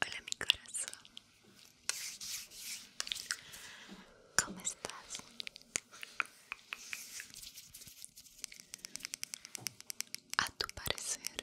Hola mi corazón, ¿cómo estás? A tu parecer,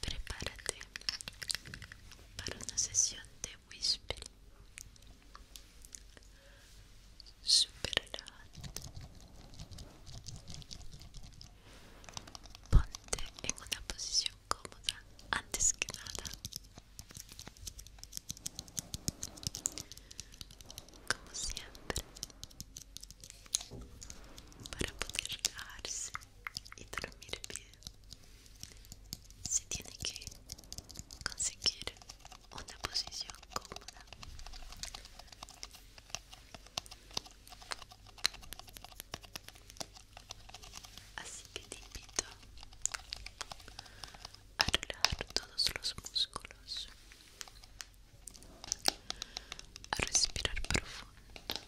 Prepárate para una sesión de whisper super relajante. Ponte en una posición cómoda antes que nada. Como siempre, para poder darse y dormir bien, se tiene que conseguir una posición cómoda Así que te invito a relajar todos los músculos, a respirar profundo.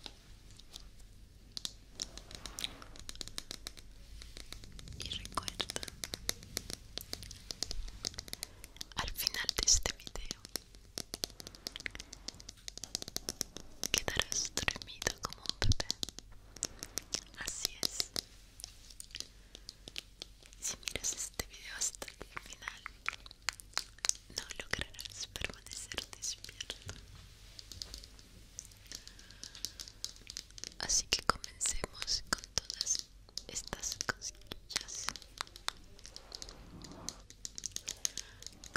Y recuerda, al final de este video Quedarás dormido como un bebé. Así es. Si miras este video hasta el final, no lograrás permanecer despierto. Así que comencemos con todas estas cosquillas cosquillas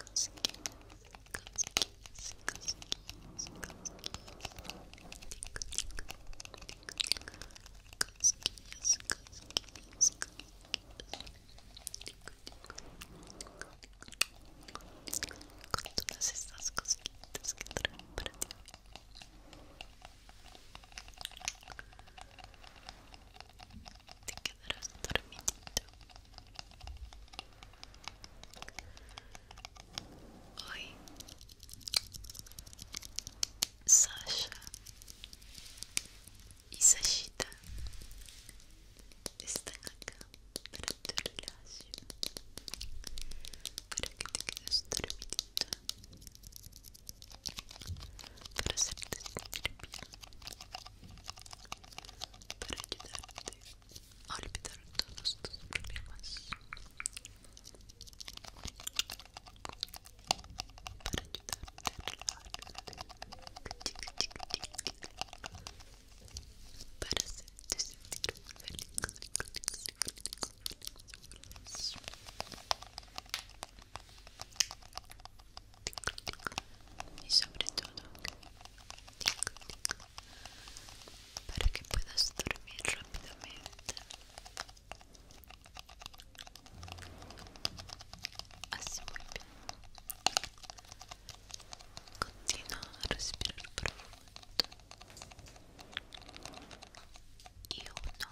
cosquillas cosquillas cosquillas cosquillas con todas estas cosquillas que traen te quedarás dormidito. Hoy, Sasha y Sashita están acá para tu relación, para que te quedes dormidito. para hacerte sentir bien, para ayudarte a olvidar todos tus problemas, para ayudarte a relajarte, para hacerte sentir feliz, feliz, feliz, feliz, feliz. y sobre todo para que puedas dormir rápidamente así muy bien continúa a respirar profundo y uno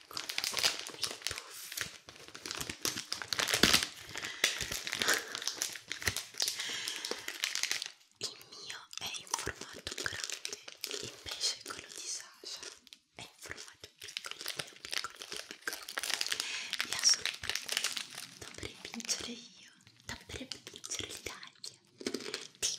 piccolo i puffi il mio è in formato grande invece quello di Sasha è in formato piccolino piccolino piccolo e ha sempre dovrei vincere io dovrei vincere l'Italia ti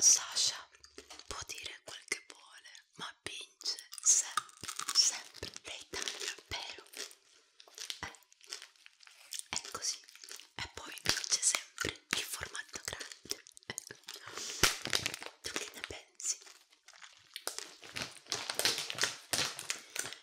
Sasha può dire quel che vuole, ma vince sempre, sempre l'Italia, vero? Eh, è così. E poi vince sempre il formato grande. Eh. Tu che ne pensi?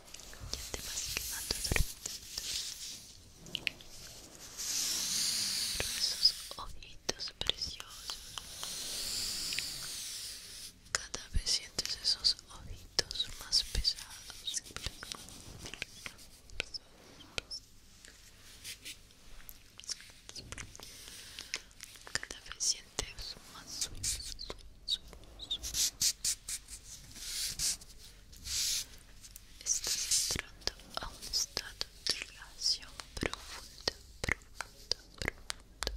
Ya te vas quemando pero Esos ojitos preciosos. Cada vez sientes esos ojitos más pesados. Cada vez sientes más Estás entrando a un estado de relación profunda, profunda, profunda,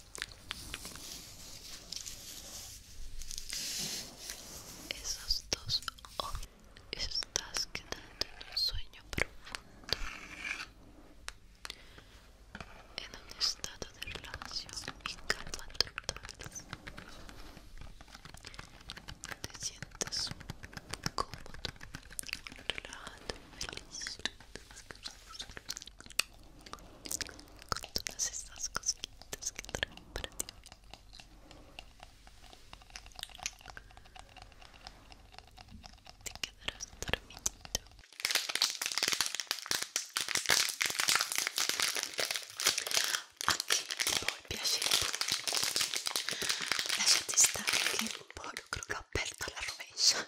Esos dos hoy estás quedando en un sueño profundo, en un estado de relación y calma total. Te sientes cómodo, relajado, y feliz con todas estas cosquillas que traen para ti. Te quedarás dormidito. Anche poi piace il burro. Lasciati stare che il burro crocca aperto la rovescia.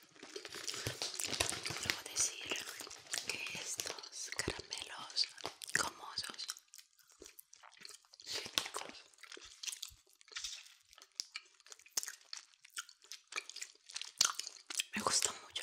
Debo decir que estos caramelos gomosos me gustan mucho.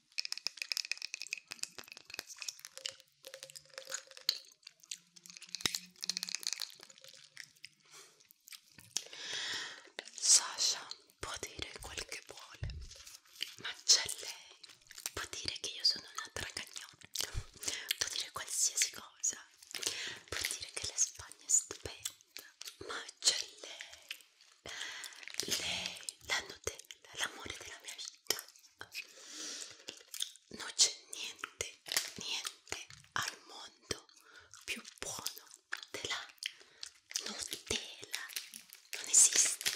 Sasha può dire quel che vuole, ma c'è lei, può dire che io sono una tragagnone, può dire qualsiasi cosa, può dire che la Spagna è stupenda, ma c'è lei lei, la Nutella, l'amore della mia vita. Non c'è niente, niente al mondo più buono della Nutella. Non esiste,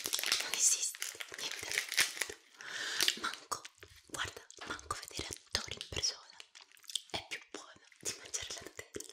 non esiste niente al mondo. Manco, guarda, manco vedere attori in persona è più buono di mangiare la Nutella.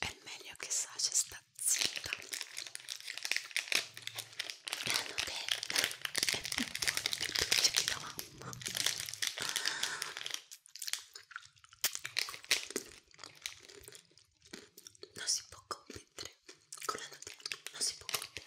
è il meglio che Sasha sta zitta la nutella è più buona più dolce che la mamma non si può competere con la nutella non si può competere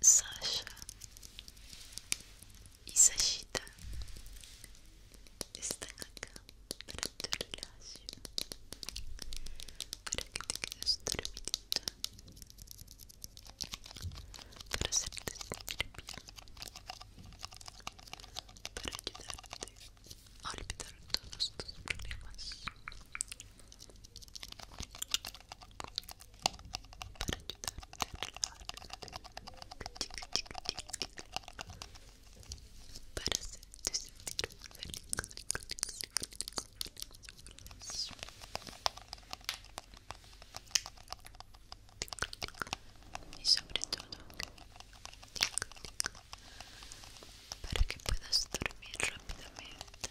Sasha y Sashita están acá para tu relación, para que te quedes dormidita, para hacerte sentir bien, para ayudarte a olvidar todos tus problemas para ayudarte a relajarte, para hacerte sentir feliz. Y sobre todo, para que puedas dormir rápidamente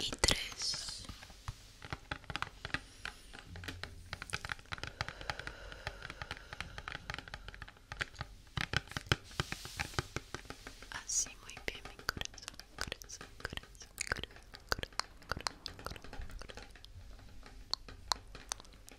y tres así muy bien mi corazón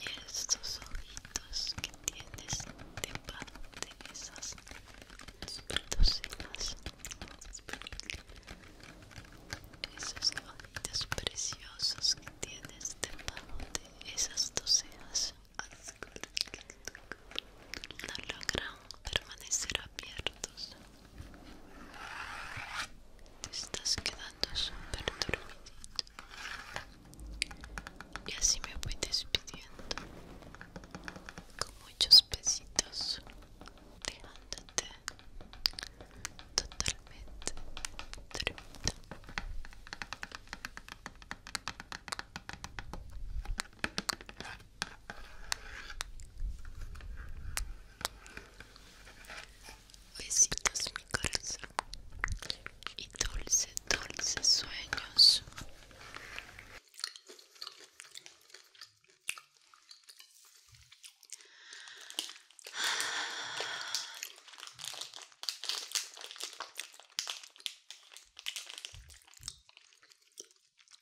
y estos ojitos que tienes debajo de esas docenas esos ojitos preciosos que tienes debajo de esas docenas no logran permanecer abiertos. Te estás quedando súper dormido Y así me voy despidiendo con muchos besitos, dejándote totalmente dormido. Besitos mi corazón y dulce, dulce sueños.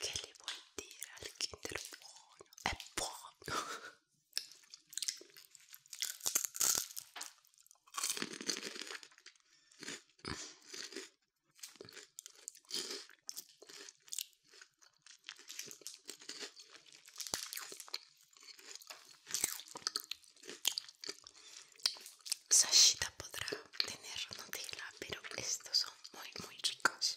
¿Qué le voy a decir al Kinder Bueno? ¡Es bueno! Sashita podrá tener Nutella, pero estos son muy muy ricos.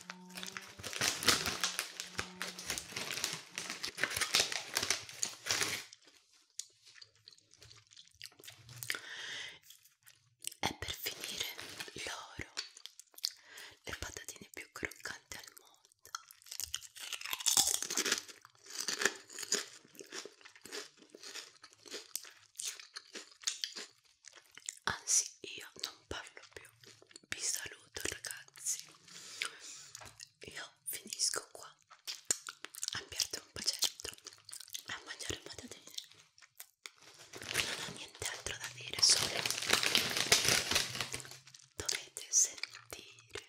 E per finire l'oro, le patatine più croccanti al mondo anzi io non parlo più vi saluto ragazzi io finisco qua a piarti un pacetto a mangiare patatine non ho nient'altro da dire solo dovete sentire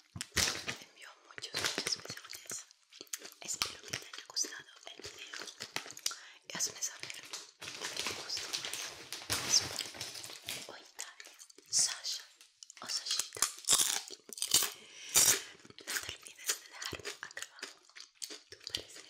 envió muchos, muchas mensajes. Espero que te haya gustado el video. Y hazme saber qué te gustó más. O Italia, Sasha o Sashita. No te olvides de dejarme acá abajo tu parecer.